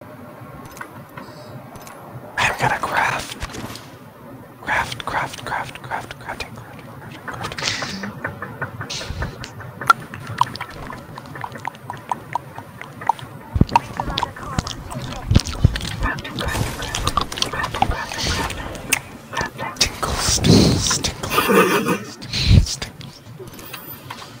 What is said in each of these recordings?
i am gonna craft. Craft, craft, craft, craft, crafting, crafting, crafting, crafting. Tinkles, tinkles, tinkles, tinkles,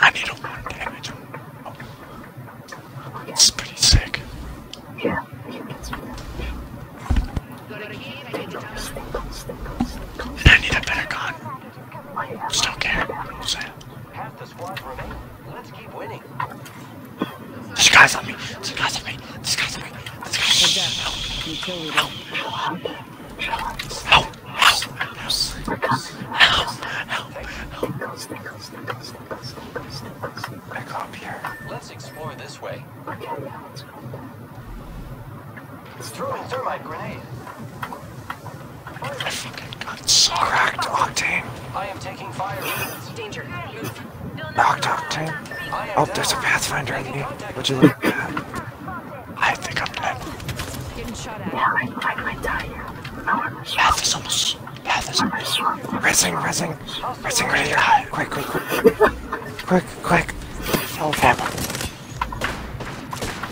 And you don't want damage. It's pretty sick. Yeah, And I need a better gun. Just don't care. Half the squad remain. Let's keep winning. me. This me. This me. This guy's on Back up here. Let's explore this way. Okay, yeah, let's go. Throw a thermite grenade. I think I got so cracked octane. I am taking fire. Danger. Knocked octane. Oh, there's a pathfinder in me. Would you look at that? I think I'm dead. Getting shot at. Yeah, I, I might die here. No, I'm Path is almost. Path is almost. Rizzing, rizzing. Rizzing, ready to die. Quick, quick, quick. quick, quick. Oh, fab.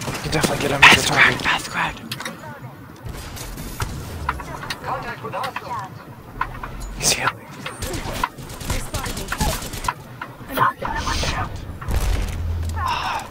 You can definitely get him path the target. Path cracked. Contact with hostile. He's healing. Ah.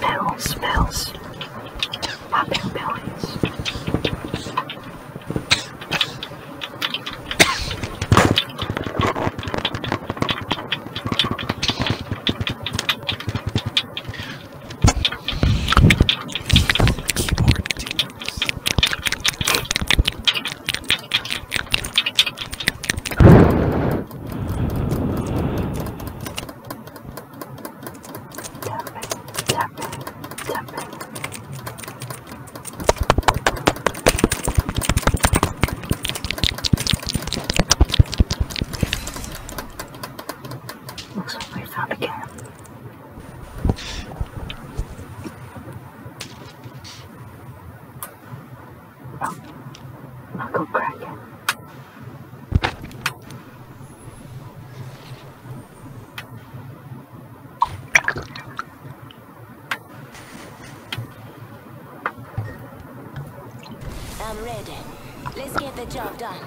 Bells, bells, popping bellies. Keyboard Looks like we found a cam. Oh, I'm ready. Let's get the job done.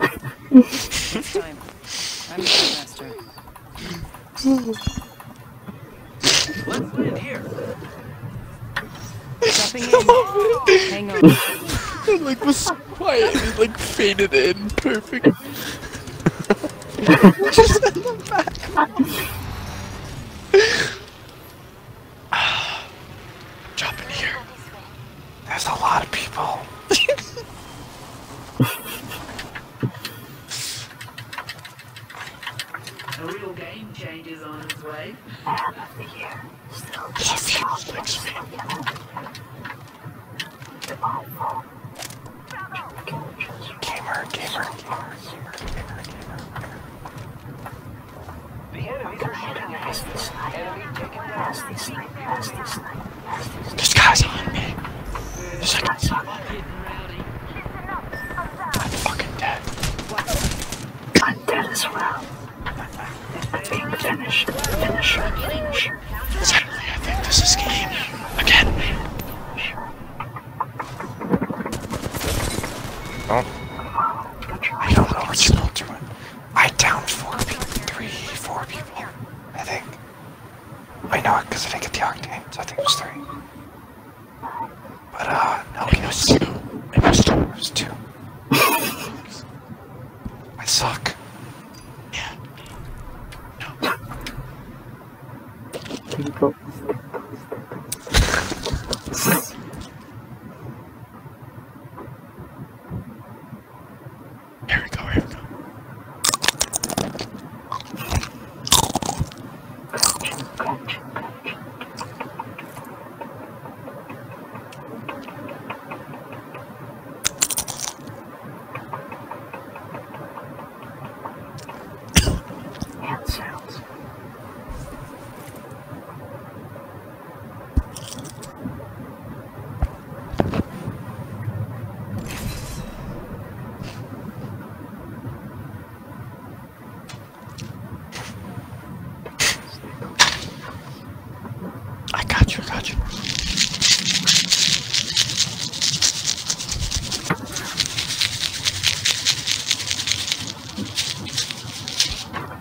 I'm the master. Let's land here. Jumping in. Hang on. it like was quiet. like faded in perfect. Just in the back. Drop in here. There's a lot of people. a real game change is This makes me. Gamer, gamer, gamer, gamer, gamer, gamer. The enemies are shooting at this guy's on me. This guy's on me. I'm fucking dead. I'm dead as well. i being finished. Finisher, Suddenly I think this is game. Again. Oh. I don't know what's still doing. I downed four people, three, four people, I think. I know it because I didn't get the octane, so I think it was three. But uh, no, it was two. It was two. It was two. I suck. Yeah. No. Go. Here we go, here we go. Hand sounds. I got you, I got you.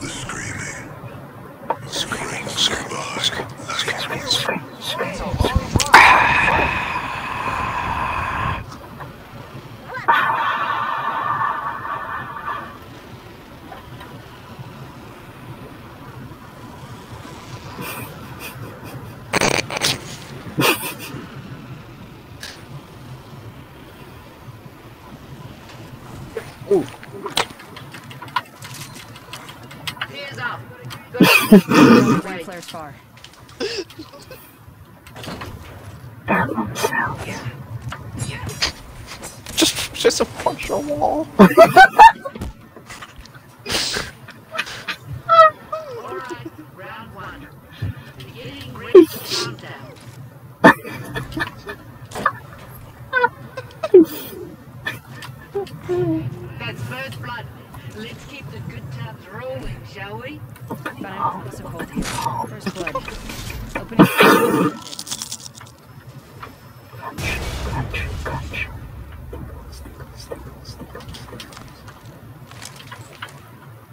The screaming. The screaming survived. Scream, scream, scream, scream, scream. Ooh. Here's up. Flares far. That won't Yeah. Yeah. Just, just a partial wall. That's first blood. Let's keep the good times rolling, shall we? But I'm also cold here. First blood. Open your Crunch, crunch, crunch.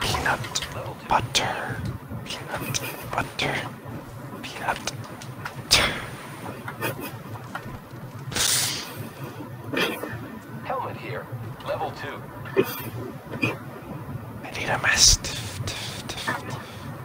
peanut butter. Peanut butter. Peanut. Helmet here. Level two. I need a mastiff.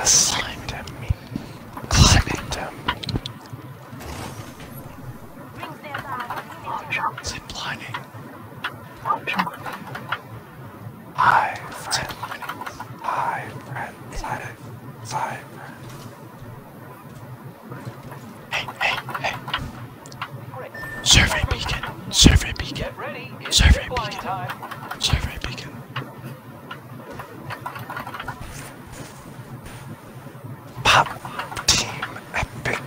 Assigned him. Assigned him. Zip lining. Hi, friend. Hi, friend. Hi, hi, friend. Hey, hey, hey. Survey beacon. Survey beacon. Survey beacon. Survey beacon. Pop team epic.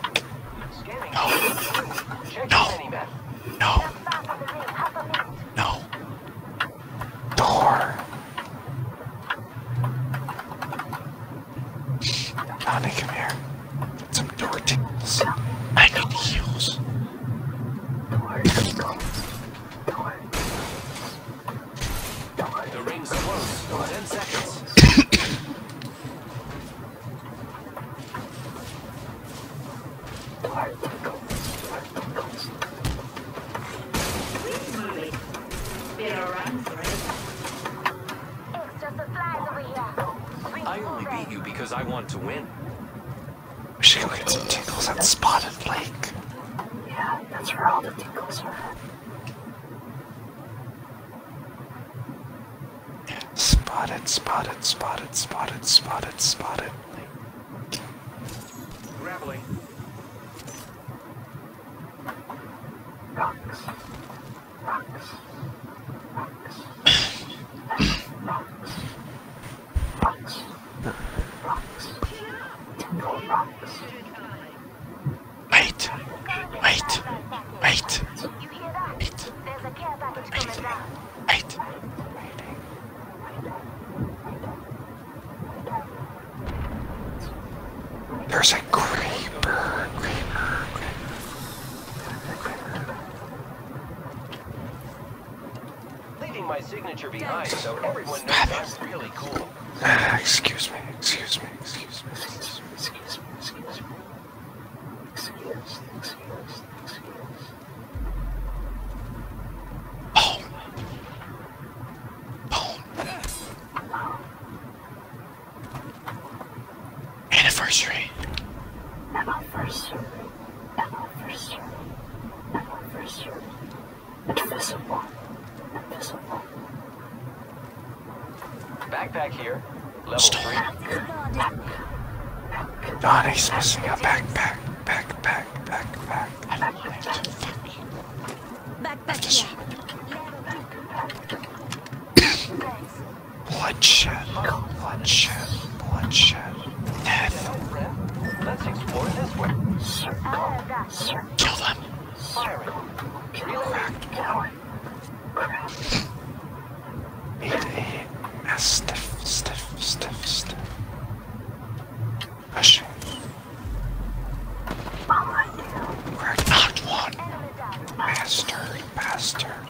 No. No. No. No. Door. Donnie, come here. Get some door tickles. I need heals. Door The ring's close. Ten seconds. I only beat you because I want to win. We should go get some tingles at Spotted Lake. Yeah, that's where all the tingles are. Spotted, spotted, spotted, spotted, spotted, spotted. Graveling. Rocks. Wait, wait, wait, wait, wait, There's a creeper, creeper, creeper. Leaving my signature behind so everyone knows I'm really cool. Uh, excuse me, excuse me, excuse me, excuse me, excuse me, excuse me. Excuse, excuse, excuse. Boom. Boom. Anniversary. Backpack here. Level three. God, missing a backpack. Backpack. Backpack. I do Backpack. Bloodshed, bloodshed, bloodshed, death. Let's explore this way. Kill them. Firing. Cracked blood. Eight a, a stiff, stiff, stiff, stiff. Pushing. Cracked, knocked one. Bastard, bastard.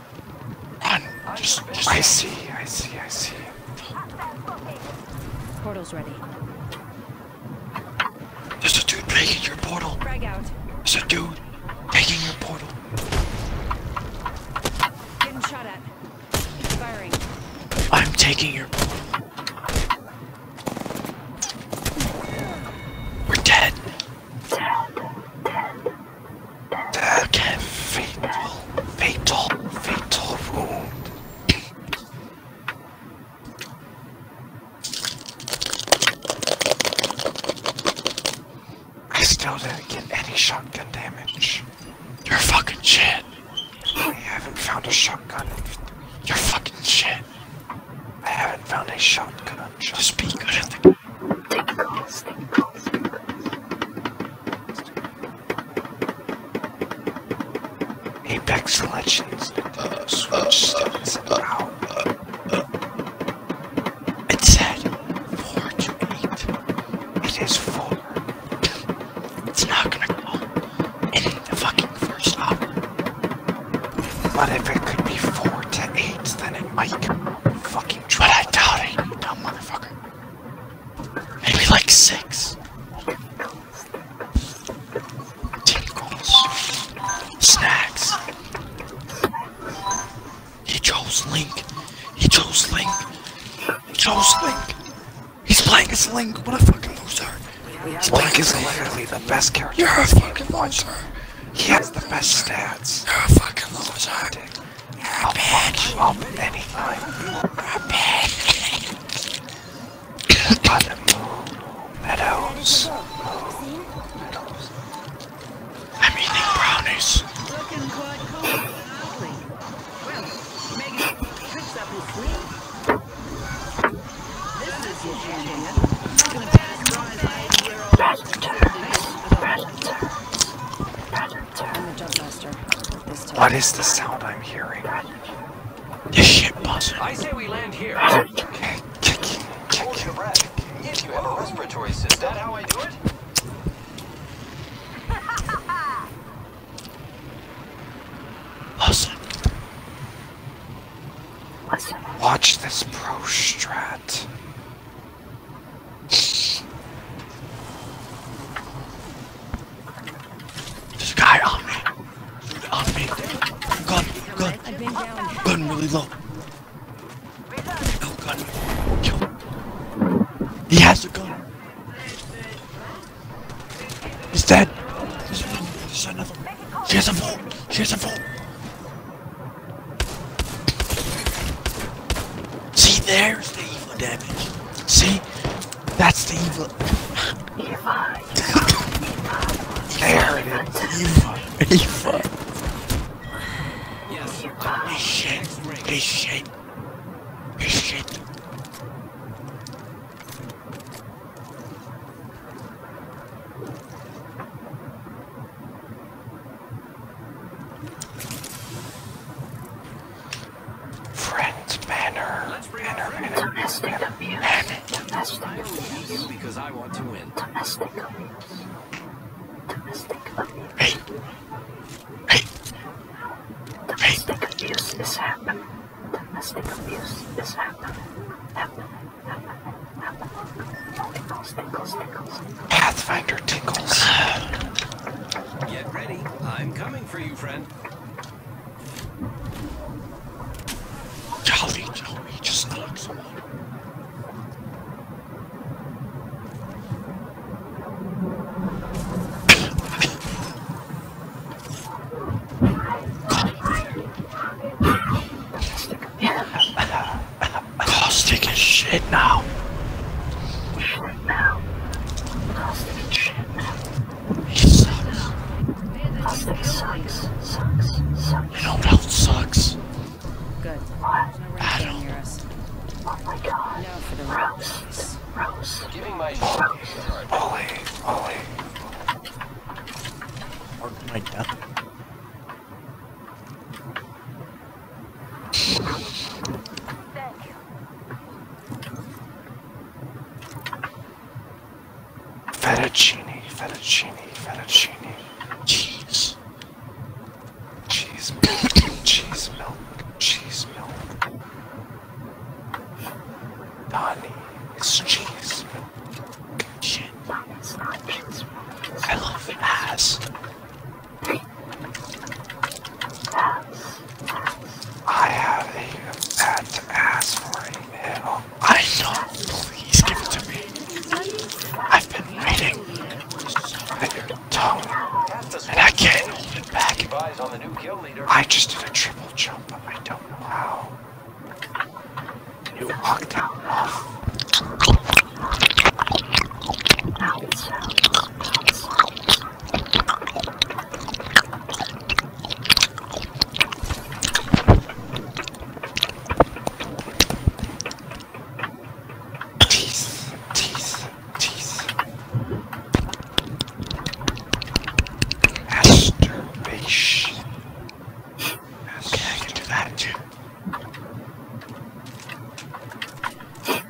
I see, I see, I see. Portal's ready. There's a dude taking your portal. There's a dude breaking your portal. I'm taking your portal. We're dead. Okay, fatal, fatal, fatal wound. I still didn't get any shotgun damage. You're fucking shit. I haven't found a shotgun. You're fucking shit. I haven't found a shotgun. Just be good at the. Take calls, Apex Legends. It said 4 to 8. It is 4. It's not gonna call. go in the fucking first hour. What if it could be 4 to 8, then it might fucking try. But I doubt it, you dumb motherfucker. Maybe like six. Tinkles. Snacks. He chose Link. He chose Link. He chose Link. He's playing as Link. What a fucking loser. Link is literally the best character. You're a fucking loser. He has the best stats. a fucking loser. I'll bitch. up anytime. You're a bitch. but meadows. meadows. I'm eating brownies. Looking quite cold, hardly. Well, Megan picks up his sleeve. This is your junior. Not a bad prize, eight-year-old. Predator. Predator. Predator. What is the sound I'm hearing? You shit bastard. I say we land here. Okay. Kicking, kicking, Hold your breath. If you have a respiratory system, is that how I do it? Listen. Listen. Watch this pro there's a guy on me. On me. Gun, gun. Gun really low. No gun. Kill him. He has a gun. He's dead. There's another. There's another. She has a vault. She has a vault. See, there's the evil damage. See? That's the evil. Eva. there it is. evil, Eva. Yes. This shit. This shit. This shit. Friends banner. Let's bring banner, banner, banner, Domestic banner, abuse. Banner. Domestic I abuse. You because I want to win. Domestic abuse. Domestic abuse. Hey. Hey. Domestic hey. abuse is happening. Domestic abuse is happening. Happening. Happening. Happening. Tickles, tickles, tickles. Pathfinder tinkles. Get ready. I'm coming for you, friend. Jolly, jolly, just knock someone. Carl's is shit now. Shit now. Carl's taking shit now. He sucks. Carl's sucks. Sucks. Sucks. You know what else sucks? Good. What? Adam. Oh my god. No, for the Giving my Rose. Oh. Ollie. Ollie. Mark my death. Fettuccine, fettuccine, fettuccine. Cheese. Cheese cheese milk, cheese milk. Donnie cheese milk. cheese milk. I love ass. I have a bad to ask I know. Please give it to me. I've been waiting your tongue, and I can't hold it back. I just did a triple jump. I don't know how. You walked out off. Cheese, cheese, cheese. Masturbation. Okay, I can do that too.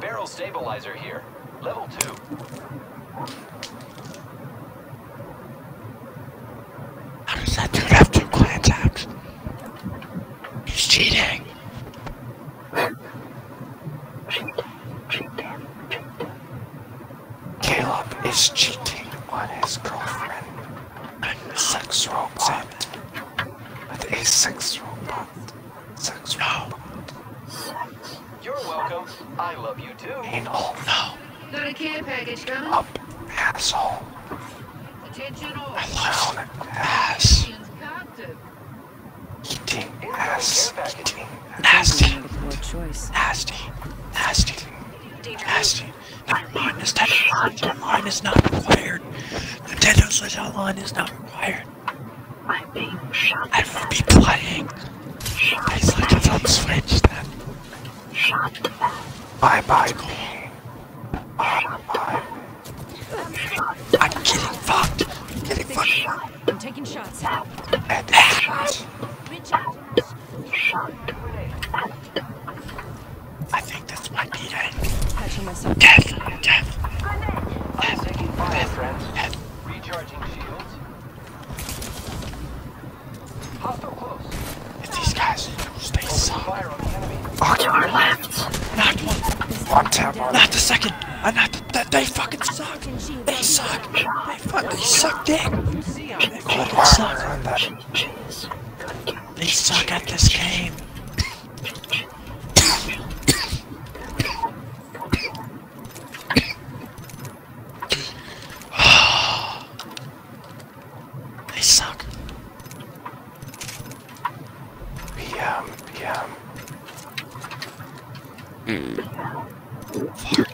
Barrel stabilizer here. Level 2. How does that dude have two clan tabs? He's cheating. Caleb is cheating on his girlfriend. I'm sex robot. It is sex robot. Sex no. robot. You're welcome. I love you too. Anal. No. Got a care package coming. Up, asshole. Attention all. Alone, ass. Eating ass. Eating nasty. Nasty. Nasty. Nasty. Nevermind, this deadline, deadline is not required. Nintendo's deadline is not required. I'm being shot. I will be playing. Shot I like it Bye bye. I'm getting fucked. I'm getting fucked. I'm taking shots. At that. Shot. Shot. I think this might be it. Death, death. I'm taking fire, death, friends. Death. Recharging shields. Hostile close. It's these guys. They Open suck. Fire on the enemy. Oh, to our left. Not one. One tap. Uh, not the second. I not that they fucking suck. They suck. They fucking suck dick. They fucking suck. They suck at this game. they suck. PM, PM. Mm. Fart.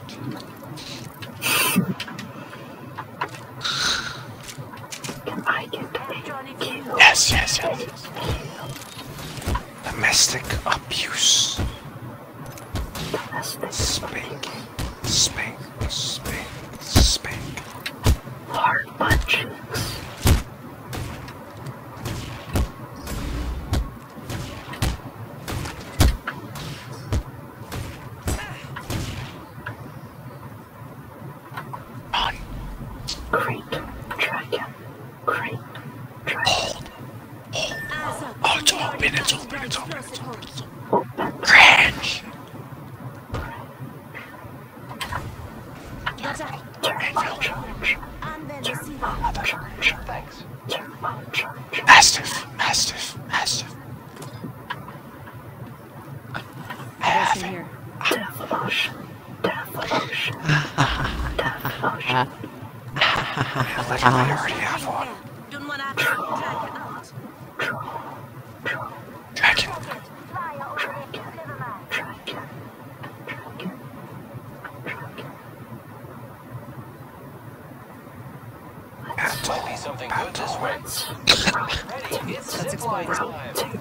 Yes, yes, yes. Domestic abuse. Spank, spank, spank, spank. Hard punchings. Run. Great dragon. Great dragon. Hold. Hold. Oh, it's open. It's open. It's open. It's open. It's open. Cringe. Oh, Turbo charge. Turbo charge. Thanks. Turbo charge. Mastiff. Mastiff. Mastiff. I have it. Death potion. Death potion. Death potion. I like I already have one. Dragon. Battle. Battle. Battle. Let's explore this.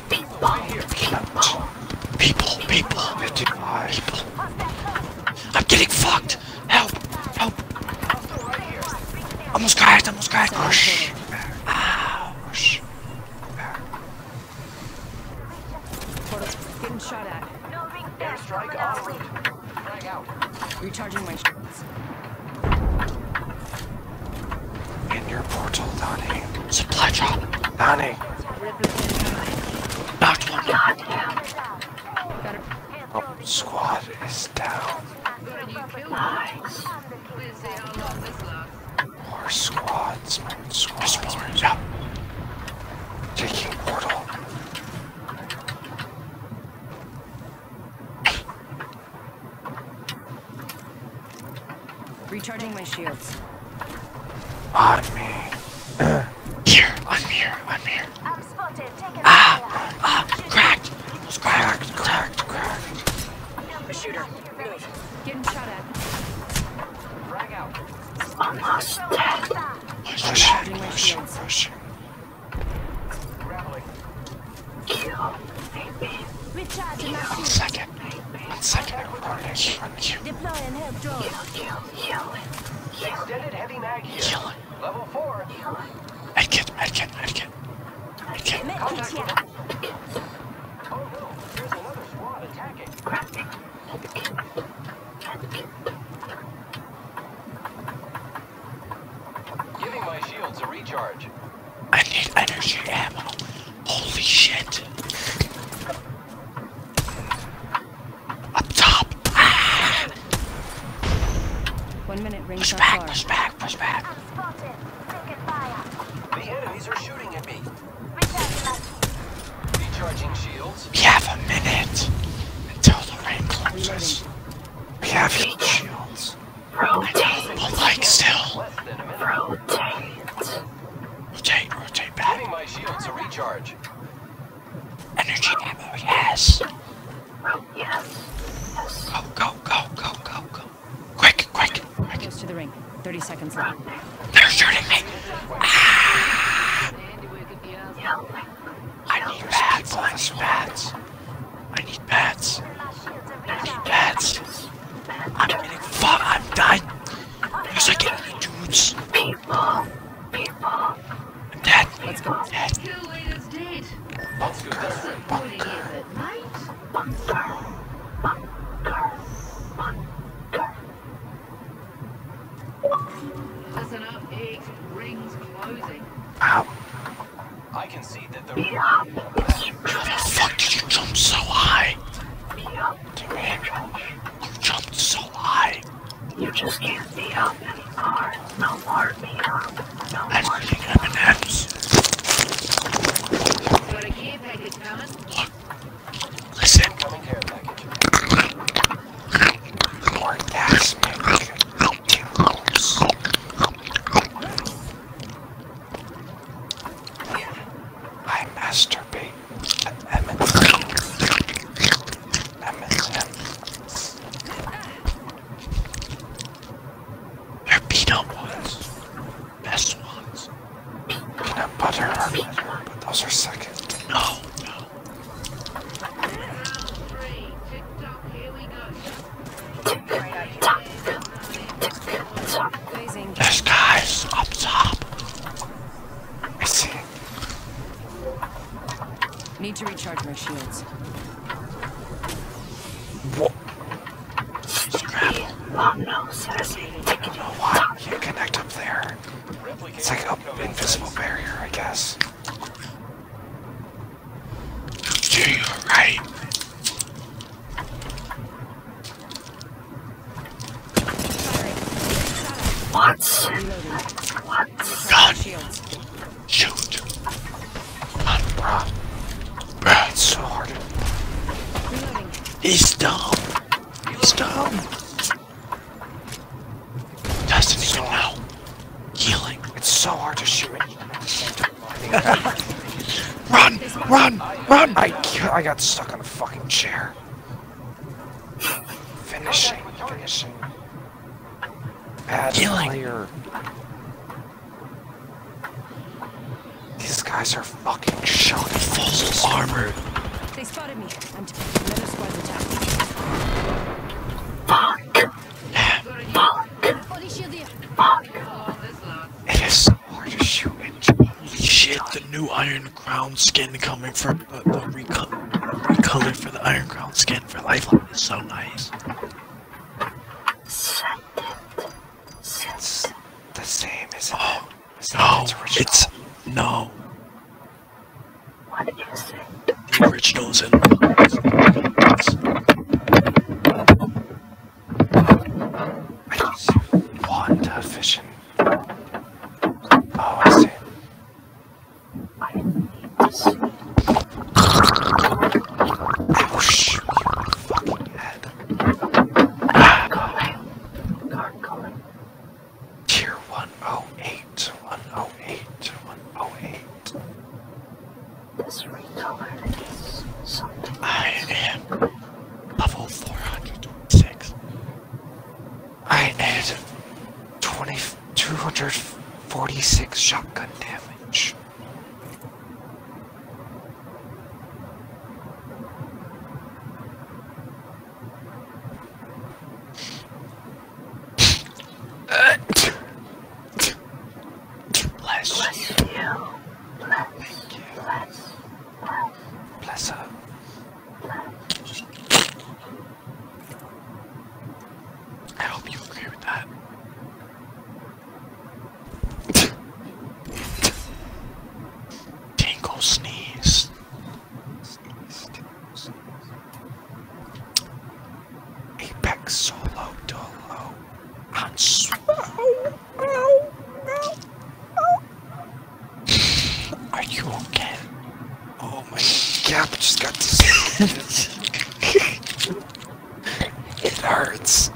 People, people, people, people, people. I'm getting fucked. Help, help. Vamos caer, vamos caer. Rush. Ah, oh, rush. Portal's getting shot at. Airstrike en route. Frag out. Recharging my shots. In your portal, Donnie. Supply drop. Panic. Knocked one. Oh, squad is down. Nice. More squads. More squads. There's Taking portal. Recharging my shields. On me. here, on me here, on me here. I'm spotted. Take it ah, ah, cracked. It's cracked, cracked, cracked. A shooter. Move. Getting shot at. Frag out. Almost dead. Pushing, pushing, pushing. Grappling. Kill. Maybe. Recharge my shield second. One second, everybody. Heal, heal, heal, Extended heavy mag here. Level 4. Medkit, medkit, medkit. Medkit. Medkit, yeah. Oh no, Giving my shields a recharge. I need energy ammo. Holy shit. Up top! One minute rings push back, push back, push back. The enemies are shooting at me. Recharging shields. We have a minute until the rain closes. We have heat shields. Rotate. But like still. Rotate. Rotate, rotate back. Getting my shields to recharge. Energy ammo, yes. Yes. Yes. Go, go, go, go, go, go. Quick, quick, quick. Goes to the ring. 30 seconds left. They're shooting me. Ah! I need bats. I need bats. I need bats. I need bats. I'm getting fucked. I'm dying. Because I get any dudes. People. People. I'm dead. Let's go. Dead. Bunker. Bunker. Bunker. Bunker. Bunker. Listen up, Eggs. Ring's closing. Ow. I can see that the... Yeah. How the fuck did you jump so high? Yeah. Damn it. You jumped so high. You just can't beat up anymore. No more be up. No That's more Got a care package coming. Look. Listen. Coming care I masturbate. They're peanut ones. Best ones. Peanut butter are better, but those are second. No, no. This guy's up top. Need to recharge my shields. What? Oh no, seriously. I don't know why you connect up there. It's like an invisible barrier, I guess. you're right. What? What? God! Shoot! Come on, bruh. so hard. He's dumb. He's dumb. Doesn't so even know. Healing. It's so hard to shoot. run! Run! Run! I, I got stuck on a fucking chair. Finishing, finishing. Bad player. These guys are fucking shot. Full armor. They spotted me. I'm another squad's attack. Fuck. Fuck. Fuck. It is so hard to shoot into. Shit, the new Iron Crown skin coming for uh, the reco recolor for the Iron Crown skin for Lifeline is so nice. It's the same, isn't oh, it? is oh its no, it's, no. What is it? The original's in. Wanda Vision. Oh, I see. I need to see. Whoosh, your fucking head. Gargoyle. Gargoyle. Tier 108, 108, 108. This recolor is something. I am level 400 six. I did twenty two hundred forty-six shotgun damage. Bless, you. Bless. Bless her. I hope you agree with that. Tingle sneeze. Apex solo dolo and swell. Are you okay? Oh my god, yeah, just got this. it hurts.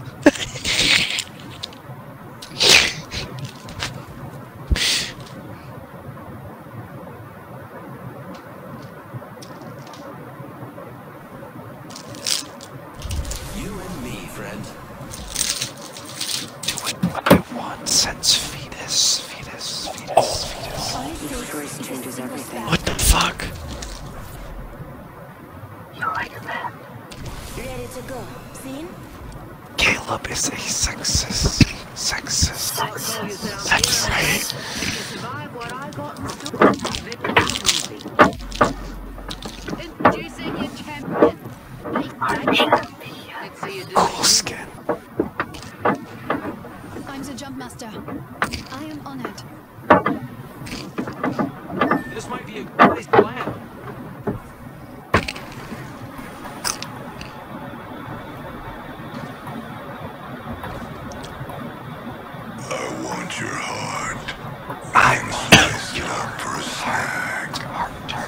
Do it one by one. Sense fetus, fetus, fetus, oh. fetus. I think yours changes everything. What the fuck? You're right map. Ready to go. Seen? Caleb is a sexist. Sexist. sexist. That's right. Introducing your champion. Cool skin. I'm the jump master. I am honored. This might be a good plan. I want your heart. I'm so for a snack.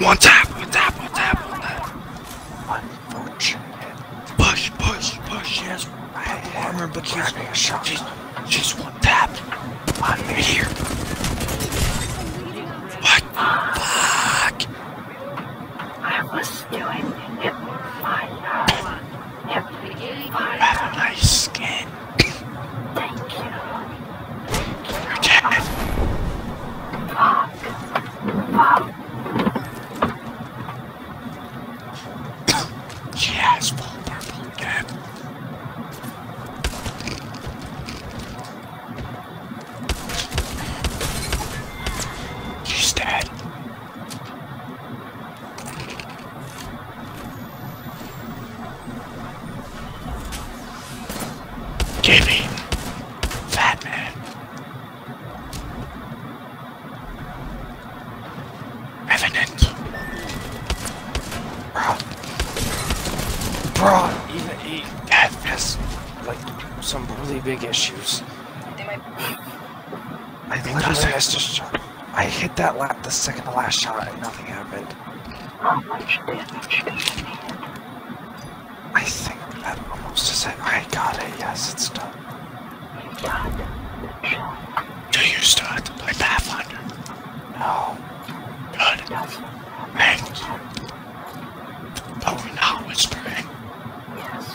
One tap, one tap, one tap, one tap. Unfortunate. Push, push, push. She has armor, but she's, she's, she's one tap. On me here. What? Fuck. I was doing it my have a nice skin. Thank you. You're dead. Fuck. Fuck. she has full purple dead. dead. Gibby, fat man. Evidence. Bruh. Bruh, even he that has like some really big issues. I hit that lap the second to last shot and nothing happened. How much damage I think that almost is it. I got it. Yes, it's done. Do you still have to No. Good. Hey. Are we not whispering? Yes,